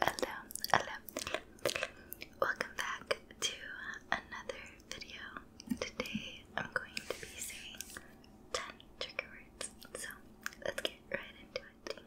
Hello, hello, Welcome back to another video. Today I'm going to be saying 10 trigger words. So let's get right into it.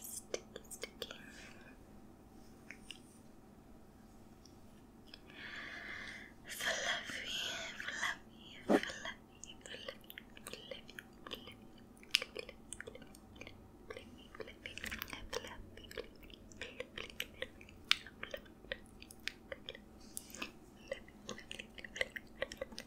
Sticky, sticky. Fluffy, fluffy, fluffy, fluffy, fluffy, fluffy, fluffy, fluffy, fluffy, fluffy, fluffy, fluffy,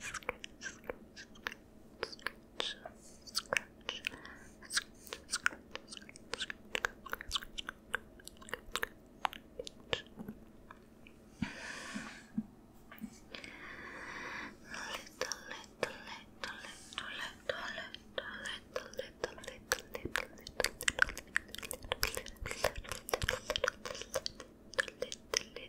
scratch, scratch, scratch, scratch, Little, little,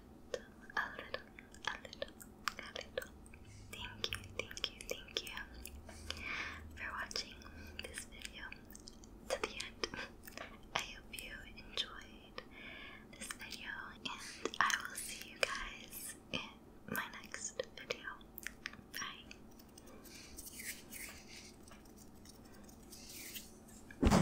a little, a little, a little. Thank you, thank you, thank you for watching this video to the end. I hope you enjoyed this video, and I will see you guys in my next video. Bye.